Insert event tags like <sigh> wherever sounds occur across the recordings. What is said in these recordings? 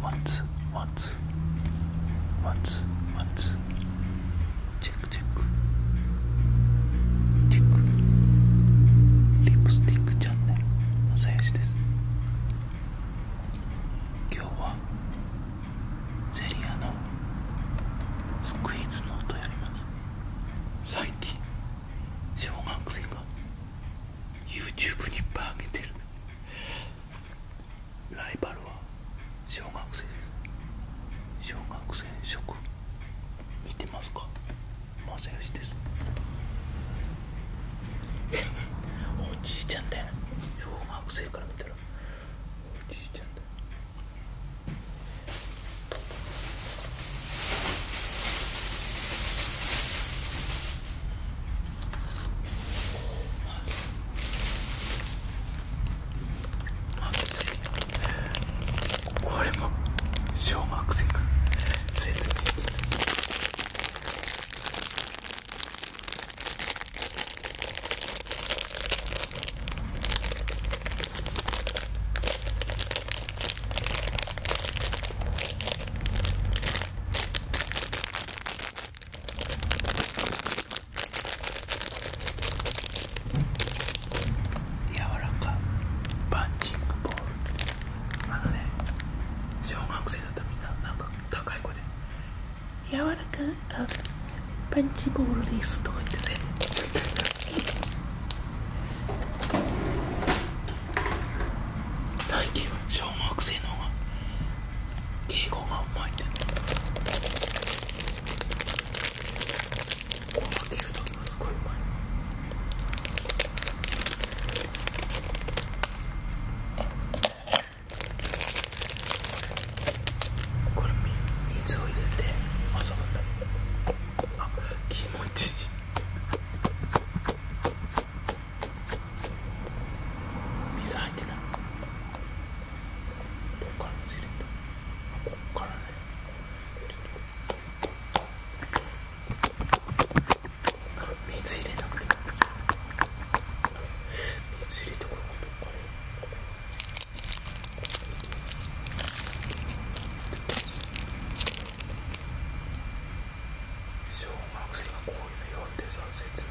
What? What? What? チェック。Check, c h e リプスティックチャンネルのさやしです。今日はゼリアのスクイーズの音やります。最近小学生が YouTube にバーゲテ上げライバルは小学生です小学生食見てますか正義です <laughs> おじいちゃんだよ小学生から見たらおじいちゃんだよまずすこれも小学生から説明する柔らかパンチングボールあのね小学生だったらみんななんか高い声で「柔らかあパンチボールです」とか言って全部最近小学生の方が敬語がうまいんだよねこう開けるときもすごいうまいこれ水を入れて遊ぶんだあ気持ちいい水入ってないどれこから水入れなくて水入れてこれ小学生がここういう表でさやって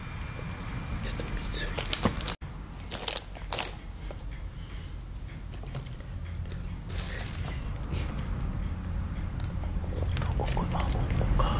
ちょっと水ここかここか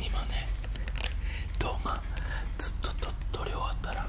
今ね動画ずっと撮り終わったら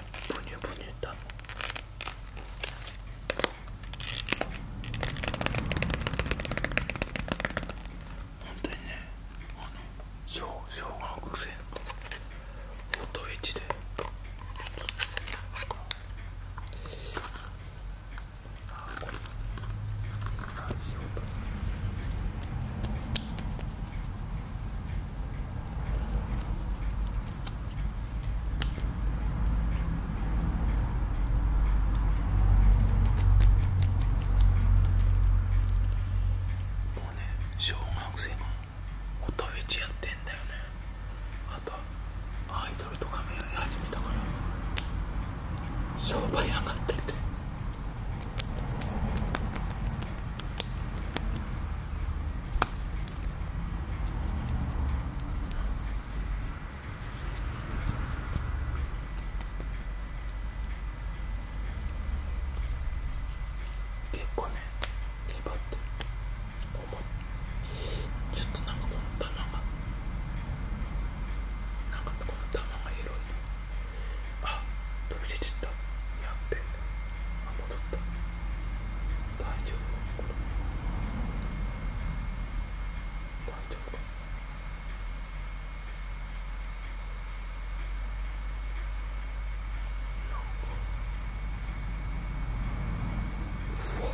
bonne 本当にねあの生姜の癖ホットウェッジうね小学生も音フェチやってんだよねあとアイドルとかもやり始めたから商売上がってて。結構ね粘ってるちょっとなんかこの玉がなんかこの玉が広いあ飛び出ったやっべあ戻った大丈夫これ大丈夫かうわあ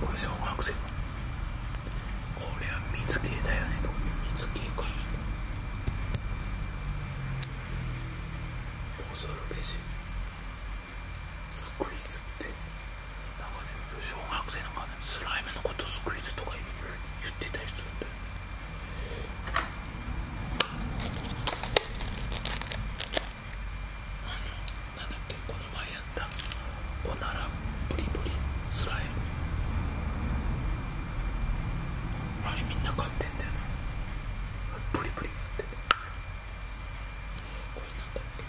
これ小学生これは水系だよね水系か恐るべしスクイズってなんかね小学生なんかねスライムのことスクイズとか言ってた人。なんだっけこの前やったおならブリブリスライムあれみんな買ってんだよねブリブリやっててこれなんだっけ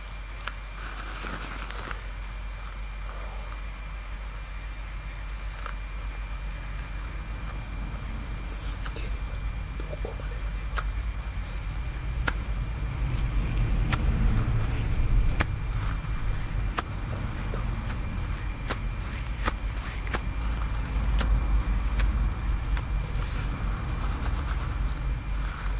すげえな、どこまでもねえな。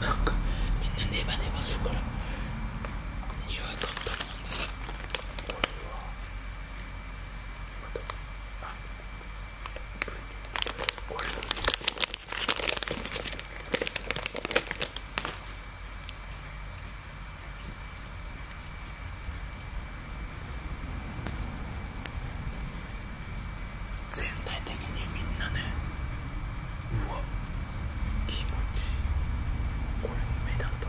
なんかみんなネバネバするから匂いがったもんねこれはまたあこれも水全体的にみんなねうわっ気持ちいいこれも目立ったべう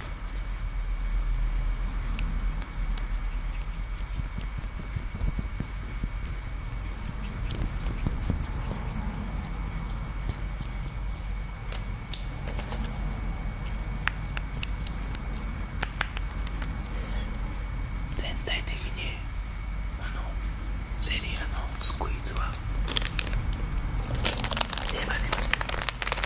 全体的にあのセリアのスクイーズはネバネバです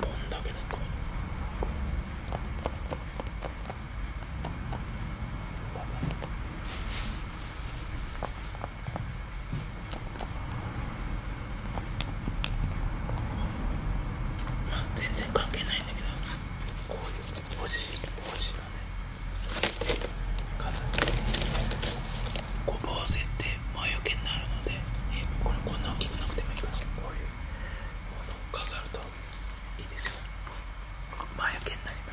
こんだけだと。まあ全然関係ないんだけどこういう星星がね飾って。ごぼせて魔除けになるので、こんな大きくなってもいいからこういうものを飾るといいですよ魔除けになります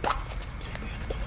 全部やるとここ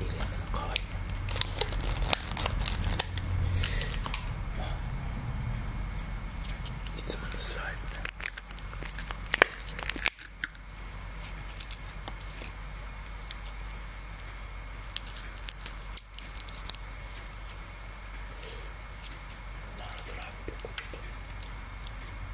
意外とかわいいまあものスライ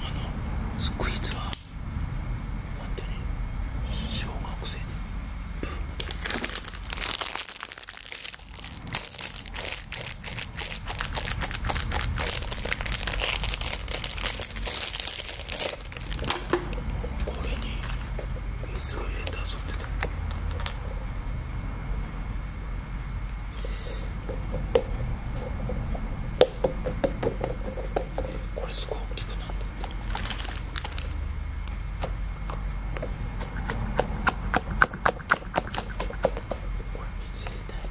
あのスクイズはまってねしょうがおせんにプンと。これに水を入れて遊んでたこれすごい大きくなったこれ水入れたいなこ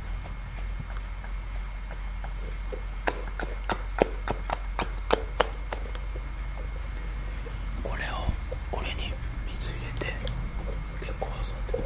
これをこれに水入れて結構遊んでる。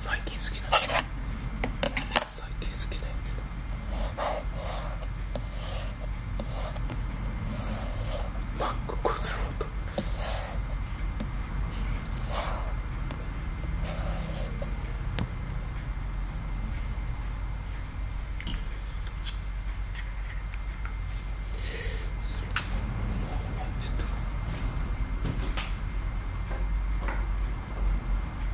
最近好きな最近好きなやつハァハァ。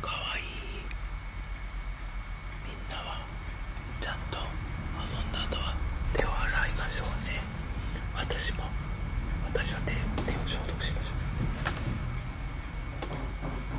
かわいいみんなはちゃんと遊んだ後は手を洗いましょうね私も私は手手を消毒しましょう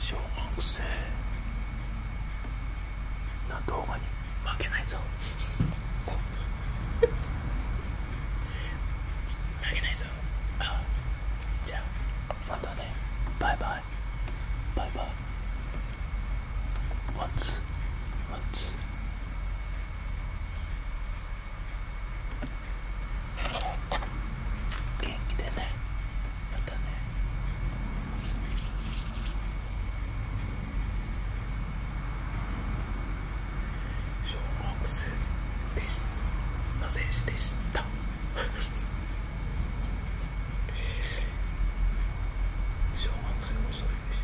小学生な動画に負けないぞ負けないぞじゃまたねバイバイバイバイワンツワンツ元気でねまたね小学生でしの選手でした <laughs> 小学生遅いです